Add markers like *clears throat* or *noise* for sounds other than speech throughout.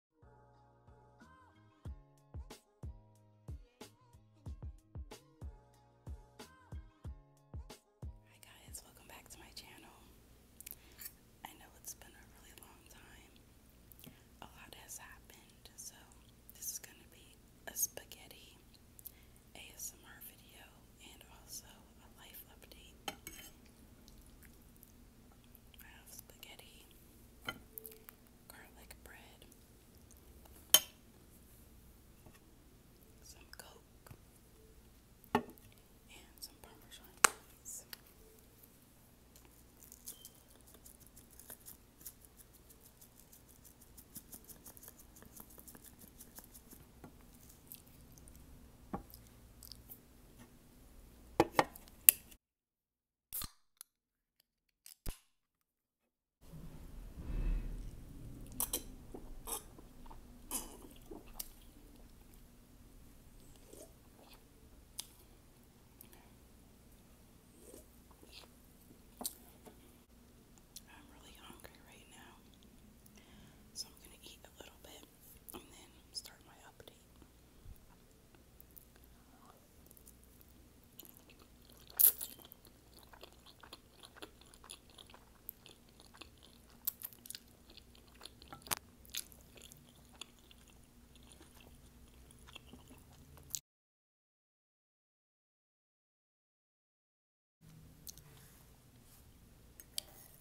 Hi guys, welcome back to my channel. I know it's been a really long time. A lot has happened, so this is going to be a spaghetti ASMR video and also a life update. I have spaghetti, garlic bread, some Coke, and some Parmesan cheese. I'm really hungry right now, so I'm going to eat a little bit it and then start my update.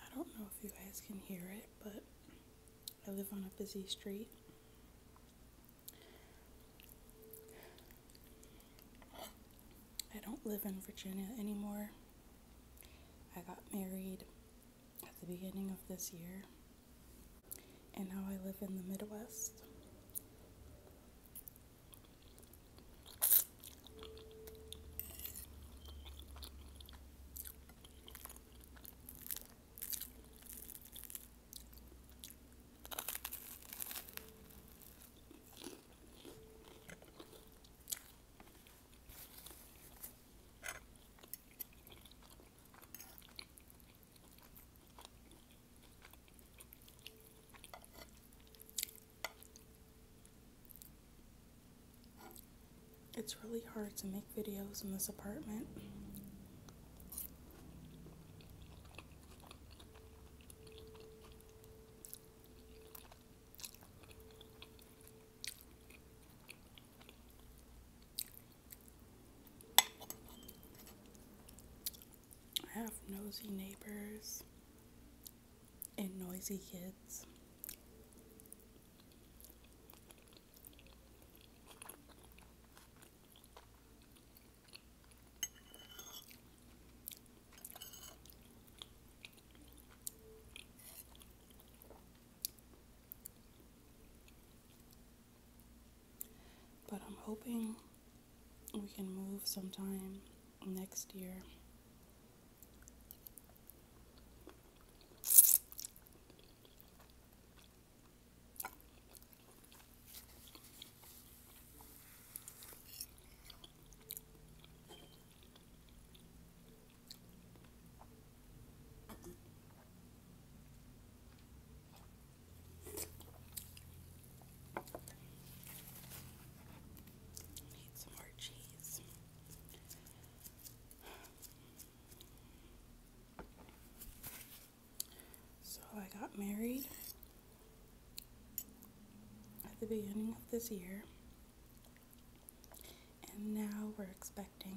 I don't know if you guys can hear it, but I live on a busy street. I don't live in Virginia anymore. I got married at the beginning of this year and now I live in the Midwest. It's really hard to make videos in this apartment. I have nosy neighbors and noisy kids. But I'm hoping we can move sometime next year. Need some more cheese. So I got married at the beginning of this year. And now we're expecting.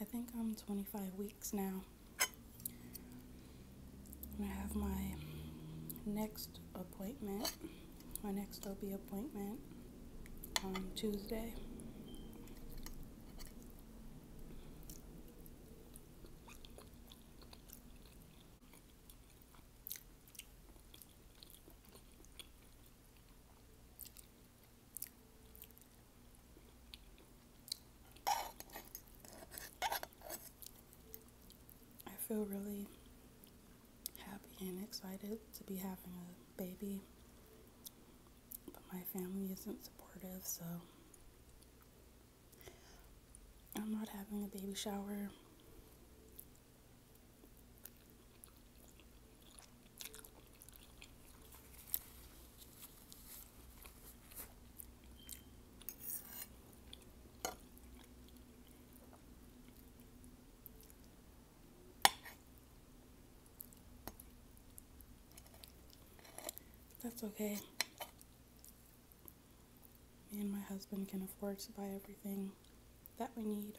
I think I'm 25 weeks now. I have my next appointment, my next OB appointment on Tuesday. I feel really happy and excited to be having a baby, but my family isn't supportive, so I'm not having a baby shower. That's okay. Me and my husband can afford to buy everything that we need.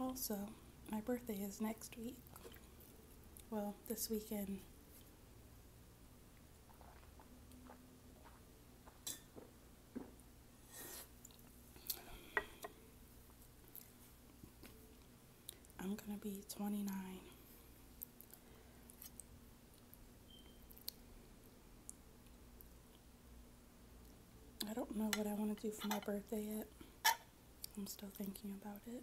also, my birthday is next week. Well, this weekend. I'm going to be 29. I don't know what I want to do for my birthday yet. I'm still thinking about it.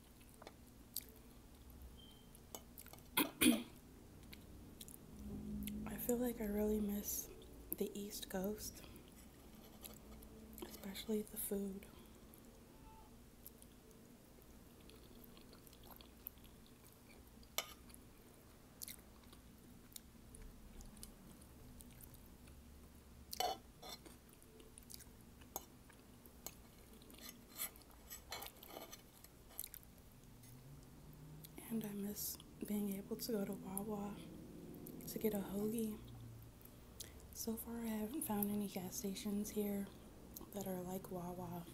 I feel like I really miss the East Coast, especially the food. And I miss being able to go to Wawa to get a hoagie. So far, I haven't found any gas stations here that are like Wawa.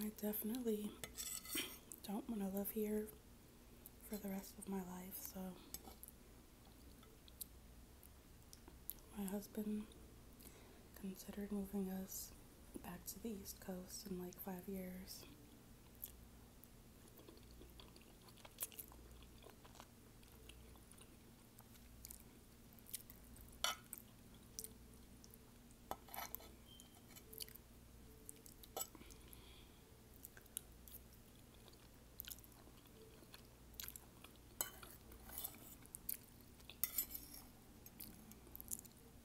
I definitely *coughs* don't want to live here for the rest of my life, so my husband considered moving us back to the East Coast in like five years.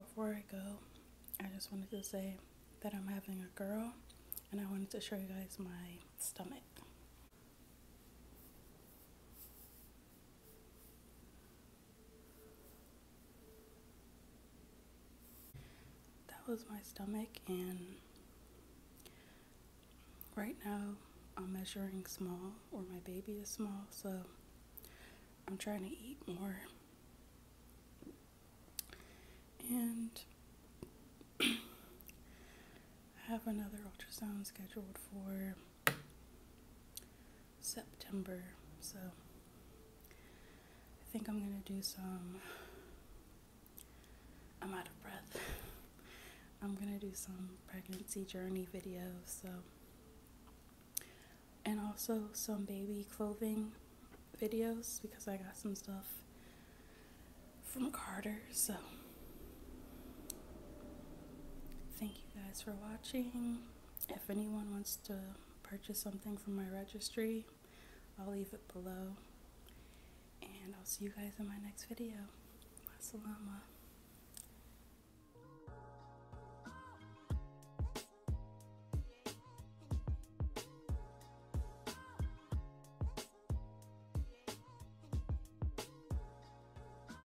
Before I go, I just wanted to say that I'm having a girl and I wanted to show you guys my stomach. That was my stomach, and right now I'm measuring small, or my baby is small, so I'm trying to eat more. And *clears throat* I have another ultrasound scheduled for September. So I think I'm going to do some. I'm out of breath. *laughs* I'm going to do some pregnancy journey videos. So and also some baby clothing videos because I got some stuff from Carter. So Thank you guys for watching. If anyone wants to purchase something from my registry, I'll leave it below. And I'll see you guys in my next video. Masalama.